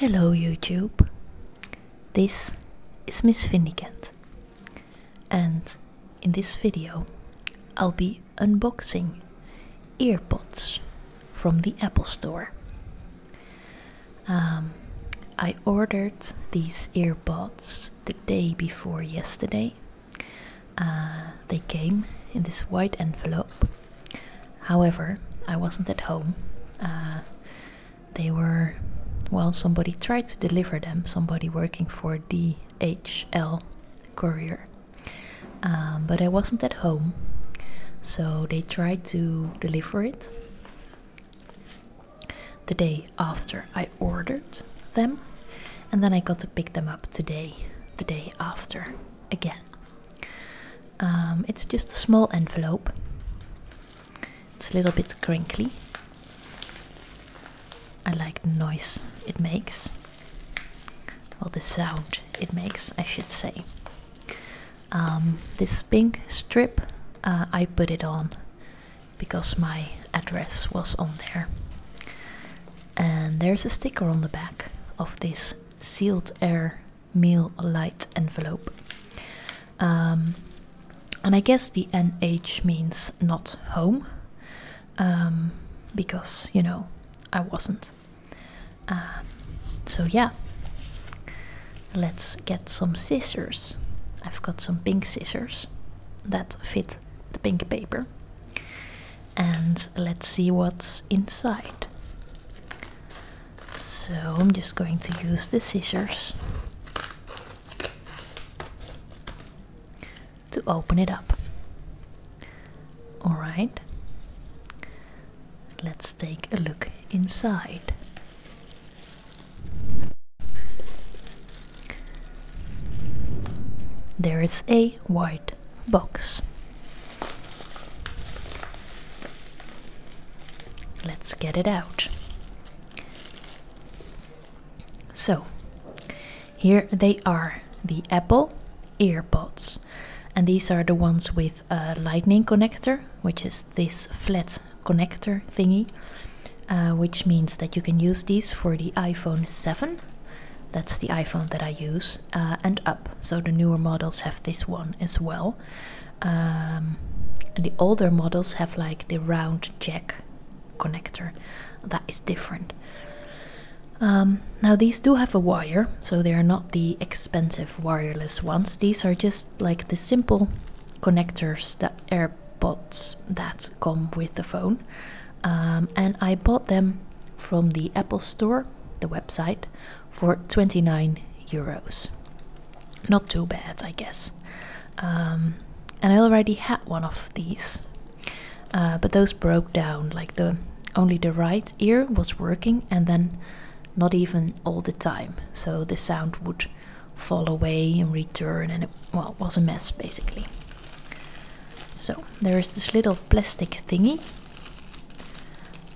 Hello YouTube, this is Miss Vindicant and in this video I'll be unboxing earpods from the Apple Store. Um, I ordered these earpods the day before yesterday. Uh, they came in this white envelope However, I wasn't at home. Uh, they were, well, somebody tried to deliver them, somebody working for DHL Courier. Um, but I wasn't at home, so they tried to deliver it the day after I ordered them, and then I got to pick them up today, the day after, again. Um, it's just a small envelope. It's a little bit crinkly. I like the noise it makes, or the sound it makes, I should say. Um, this pink strip, uh, I put it on because my address was on there. And there's a sticker on the back of this sealed air meal light envelope. Um, and I guess the NH means not home, um, because, you know, I wasn't. Uh, so, yeah, let's get some scissors. I've got some pink scissors that fit the pink paper and let's see what's inside. So I'm just going to use the scissors to open it up. Alright, let's take a look inside. There is a white box. Let's get it out. So, here they are the Apple earpods. And these are the ones with a lightning connector, which is this flat connector thingy, uh, which means that you can use these for the iPhone 7. That's the iPhone that I use. Uh, and up. So the newer models have this one as well. Um, and the older models have like the round jack connector. That is different. Um, now these do have a wire, so they are not the expensive wireless ones. These are just like the simple connectors that AirPods that come with the phone. Um, and I bought them from the Apple Store, the website, for 29 euros. Not too bad, I guess. Um, and I already had one of these, uh, but those broke down. Like the only the right ear was working, and then not even all the time. So the sound would fall away and return, and it well it was a mess basically. So there is this little plastic thingy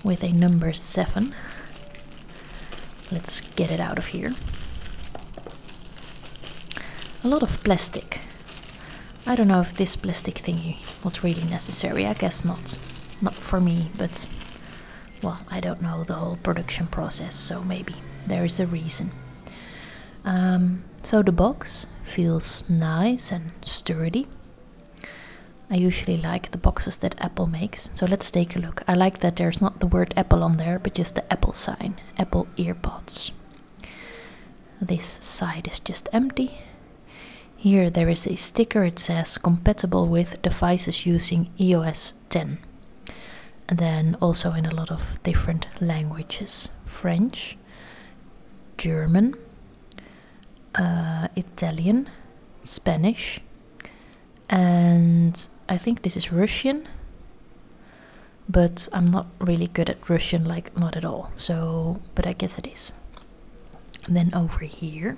with a number 7. Let's get it out of here. A lot of plastic. I don't know if this plastic thingy was really necessary. I guess not. Not for me, but well, I don't know the whole production process, so maybe there is a reason. Um, so the box feels nice and sturdy. I usually like the boxes that Apple makes, so let's take a look. I like that there's not the word Apple on there, but just the Apple sign, Apple earpods. This side is just empty. Here there is a sticker, it says compatible with devices using iOS 10. And then also in a lot of different languages. French, German, uh, Italian, Spanish, and I think this is Russian, but I'm not really good at Russian, like, not at all. So, but I guess it is. then over here,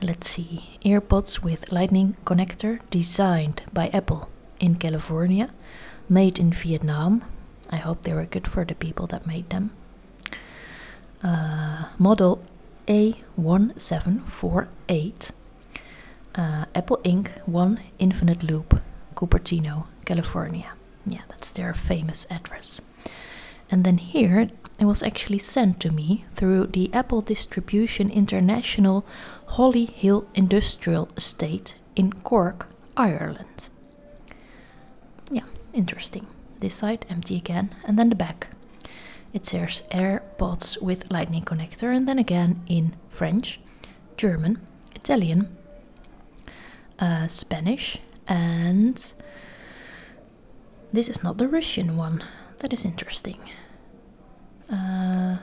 let's see earpods with lightning connector designed by Apple in California, made in Vietnam, I hope they were good for the people that made them. Uh, model A1748, uh, Apple Inc. 1 Infinite Loop, Cupertino, California. Yeah, that's their famous address. And then here it was actually sent to me through the Apple Distribution International Holly Hill Industrial Estate in Cork, Ireland. Yeah, interesting. This side empty again, and then the back. It says AirPods with lightning connector, and then again in French, German, Italian, uh, Spanish, and this is not the Russian one. That is interesting. Uh,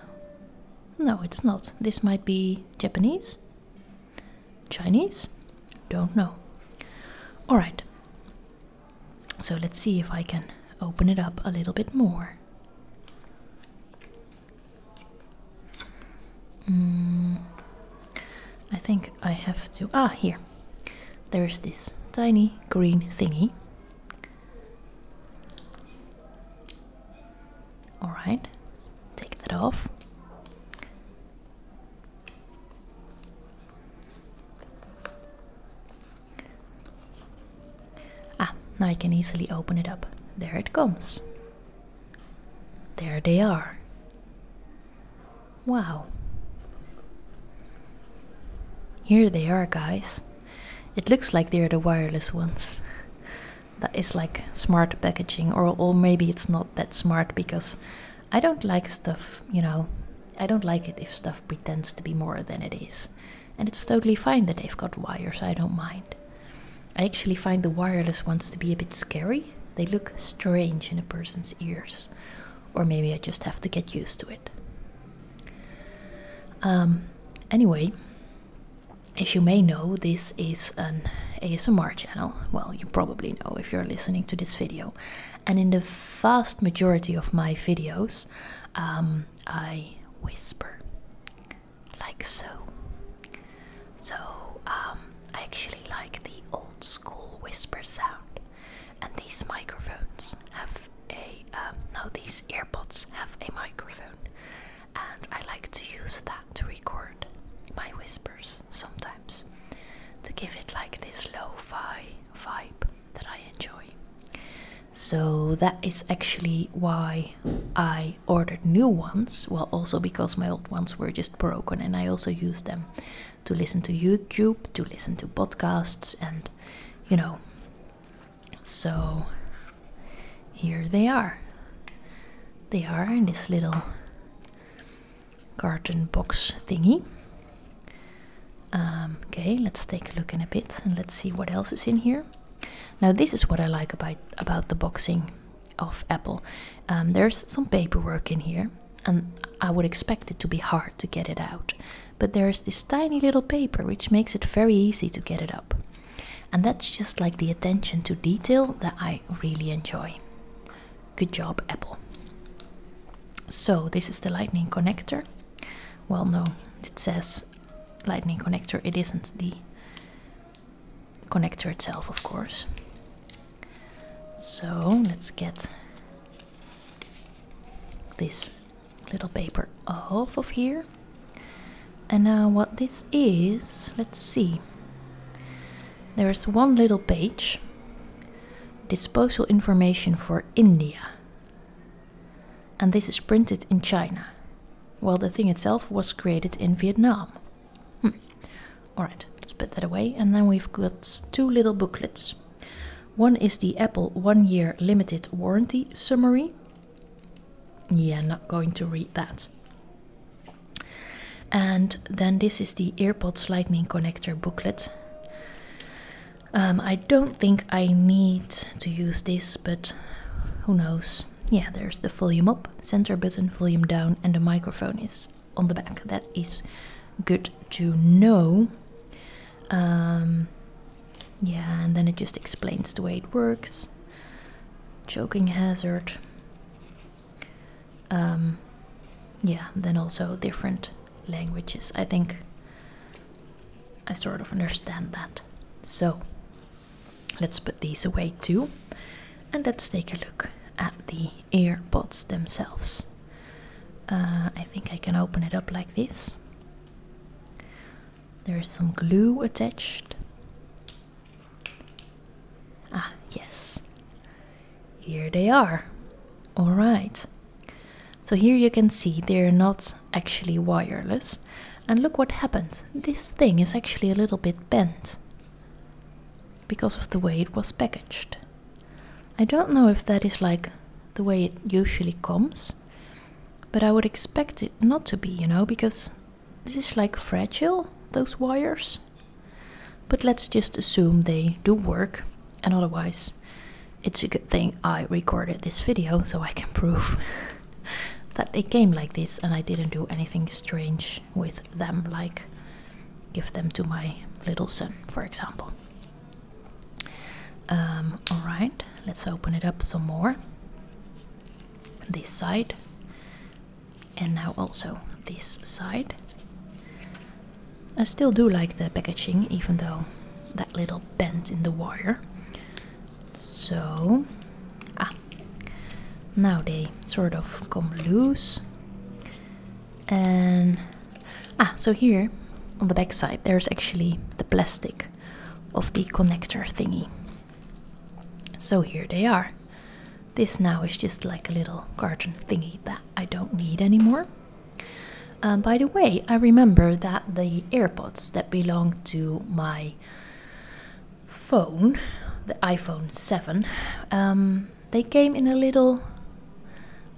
no, it's not. This might be Japanese? Chinese? Don't know. Alright. So let's see if I can open it up a little bit more. Mm, I think I have to. Ah, here. There's this tiny green thingy. Alright, take that off. Ah, now I can easily open it up. There it comes. There they are. Wow. Here they are, guys. It looks like they're the wireless ones that is like smart packaging or, or maybe it's not that smart because i don't like stuff you know i don't like it if stuff pretends to be more than it is and it's totally fine that they've got wires i don't mind i actually find the wireless ones to be a bit scary they look strange in a person's ears or maybe i just have to get used to it um, anyway as you may know, this is an ASMR channel. Well, you probably know if you're listening to this video. And in the vast majority of my videos, um, I whisper like so. So, um, I actually like the old school whisper sound. And these microphones have a, um, no, these earbuds have a microphone and I like to use that to record my whispers sometimes to give it like this lo fi vibe that I enjoy. So that is actually why I ordered new ones. Well, also because my old ones were just broken, and I also use them to listen to YouTube, to listen to podcasts, and you know, so here they are. They are in this little garden box thingy. Um, okay, let's take a look in a bit and let's see what else is in here. Now this is what I like about, about the boxing of Apple. Um, there's some paperwork in here and I would expect it to be hard to get it out. But there's this tiny little paper which makes it very easy to get it out. And that's just like the attention to detail that I really enjoy. Good job, Apple. So, this is the lightning connector. Well, no, it says lightning connector, it isn't the connector itself, of course. So, let's get this little paper off of here and now what this is let's see there's one little page disposal information for India and this is printed in China Well, the thing itself was created in Vietnam hmm. alright let's put that away and then we've got two little booklets one is the Apple one year limited warranty summary yeah, not going to read that. And then this is the AirPods Lightning Connector booklet. Um, I don't think I need to use this, but who knows. Yeah, there's the volume up, center button, volume down, and the microphone is on the back. That is good to know. Um, yeah, and then it just explains the way it works. Choking hazard. Um, yeah, then also different languages. I think I sort of understand that. So let's put these away too, and let's take a look at the earbuds themselves. Uh, I think I can open it up like this. There is some glue attached. Ah, yes. Here they are. Alright. So here you can see they're not actually wireless. And look what happened. This thing is actually a little bit bent because of the way it was packaged. I don't know if that is like the way it usually comes but I would expect it not to be, you know, because this is like fragile, those wires. But let's just assume they do work, and otherwise, it's a good thing I recorded this video so I can prove that they came like this and I didn't do anything strange with them, like give them to my little son, for example. Um, Alright, let's open it up some more. This side. And now also this side. I still do like the packaging, even though that little bend in the wire. So, ah, now they sort of come loose. And Ah, so here on the back side there's actually the plastic of the connector thingy. So here they are. This now is just like a little garden thingy that I don't need anymore. Um, by the way, I remember that the AirPods that belonged to my phone, the iPhone 7, um, they came in a little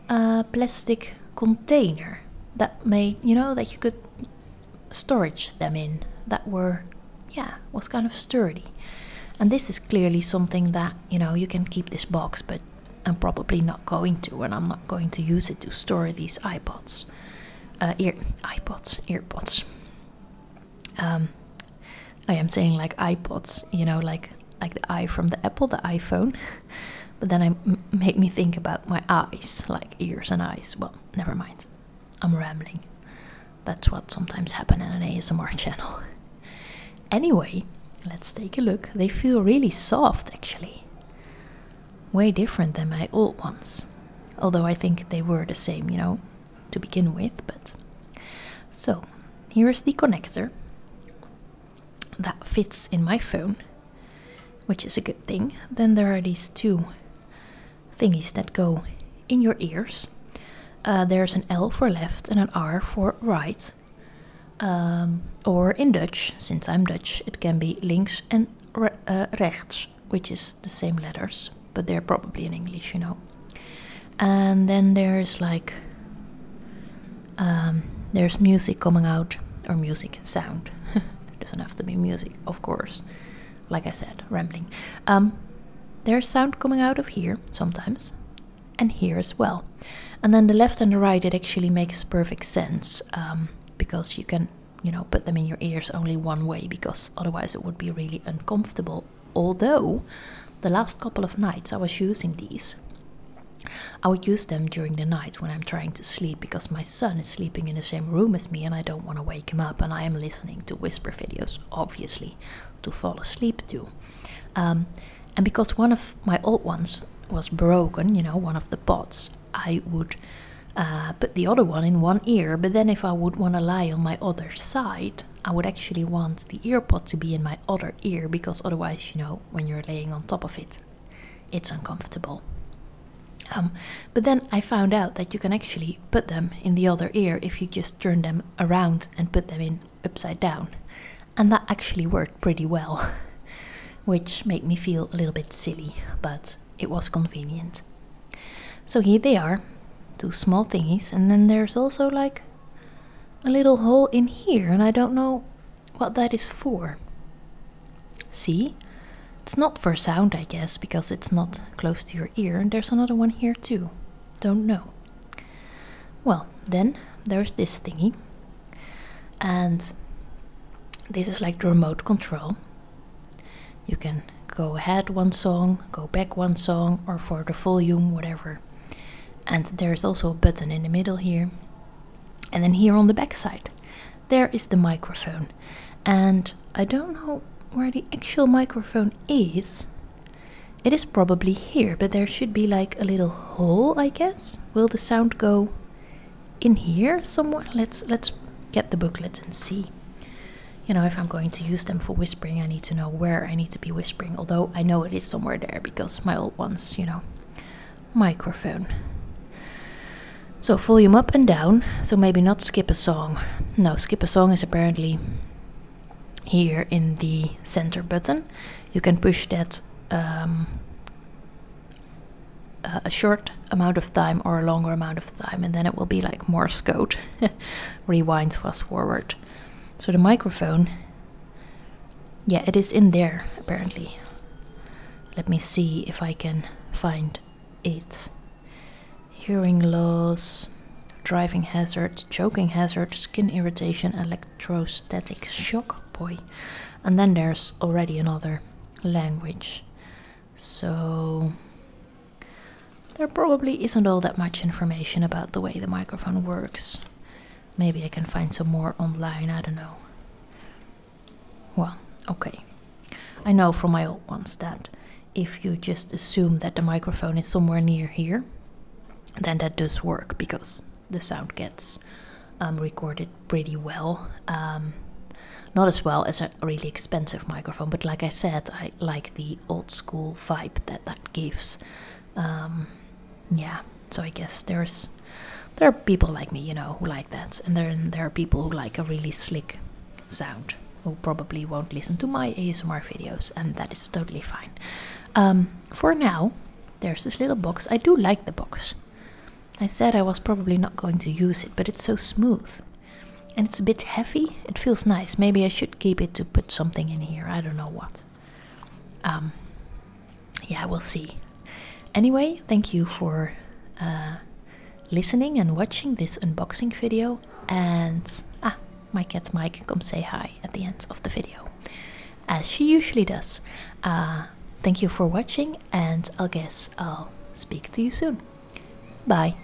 a plastic container that made you know that you could storage them in that were yeah was kind of sturdy and this is clearly something that you know you can keep this box but i'm probably not going to and i'm not going to use it to store these ipods uh, ear ipods earpods um, i am saying like ipods you know like like the eye from the Apple, the iPhone. But then I make me think about my eyes, like ears and eyes. Well, never mind. I'm rambling. That's what sometimes happens on an ASMR channel. Anyway, let's take a look. They feel really soft, actually. Way different than my old ones. Although I think they were the same, you know, to begin with, but. So, here is the connector that fits in my phone, which is a good thing. Then there are these two thingies that go in your ears. Uh, there's an L for left and an R for right. Um, or in Dutch, since I'm Dutch, it can be links and uh, rechts, which is the same letters, but they're probably in English, you know. And then there's like um, there's music coming out, or music sound. doesn't have to be music, of course. Like I said, rambling. Um, there's sound coming out of here sometimes, and here as well. And then the left and the right, it actually makes perfect sense um, because you can, you know, put them in your ears only one way because otherwise it would be really uncomfortable. Although the last couple of nights I was using these. I would use them during the night when I'm trying to sleep because my son is sleeping in the same room as me and I don't want to wake him up and I am listening to whisper videos, obviously, to fall asleep to. Um, and because one of my old ones was broken, you know, one of the pots, I would uh, put the other one in one ear, but then if I would want to lie on my other side, I would actually want the earpod to be in my other ear because otherwise, you know, when you're laying on top of it, it's uncomfortable. Um, but then I found out that you can actually put them in the other ear if you just turn them around and put them in upside down. And that actually worked pretty well, which made me feel a little bit silly, but it was convenient. So here they are, two small thingies, and then there's also like a little hole in here, and I don't know what that is for. See? It's not for sound, I guess, because it's not close to your ear, and there's another one here too. Don't know. Well, then there's this thingy, and this is like the remote control. You can go ahead one song, go back one song, or for the volume, whatever and there's also a button in the middle here and then here on the back side there is the microphone and i don't know where the actual microphone is it is probably here but there should be like a little hole i guess will the sound go in here somewhere let's let's get the booklet and see you know if i'm going to use them for whispering i need to know where i need to be whispering, although I know it is somewhere there because my old ones, you know. Microphone. So volume up and down, so maybe not skip a song. No, skip a song is apparently here in the center button. You can push that um, uh, a short amount of time or a longer amount of time, and then it will be like Morse code rewind, fast forward. So the microphone, yeah, it is in there apparently. Let me see if I can find it. Hearing loss, driving hazard, choking hazard, skin irritation, electrostatic shock, boy. And then there's already another language. So there probably isn't all that much information about the way the microphone works. Maybe I can find some more online, I don't know. Well, okay. I know from my old ones that if you just assume that the microphone is somewhere near here, then that does work because the sound gets um, recorded pretty well. Um, not as well as a really expensive microphone, but like I said, I like the old school vibe that that gives. Um, yeah, so I guess there's there are people like me, you know, who like that, and then there are people who like a really slick sound who probably won't listen to my ASMR videos, and that is totally fine. Um, for now, there's this little box. I do like the box. I said I was probably not going to use it, but it's so smooth and it's a bit heavy. It feels nice. Maybe I should keep it to put something in here. I don't know what. Um, yeah, we'll see. Anyway, thank you for uh, listening and watching this unboxing video. And ah, my cat Mike come say hi at the end of the video, as she usually does. Uh, thank you for watching, and I guess I'll speak to you soon. Bye.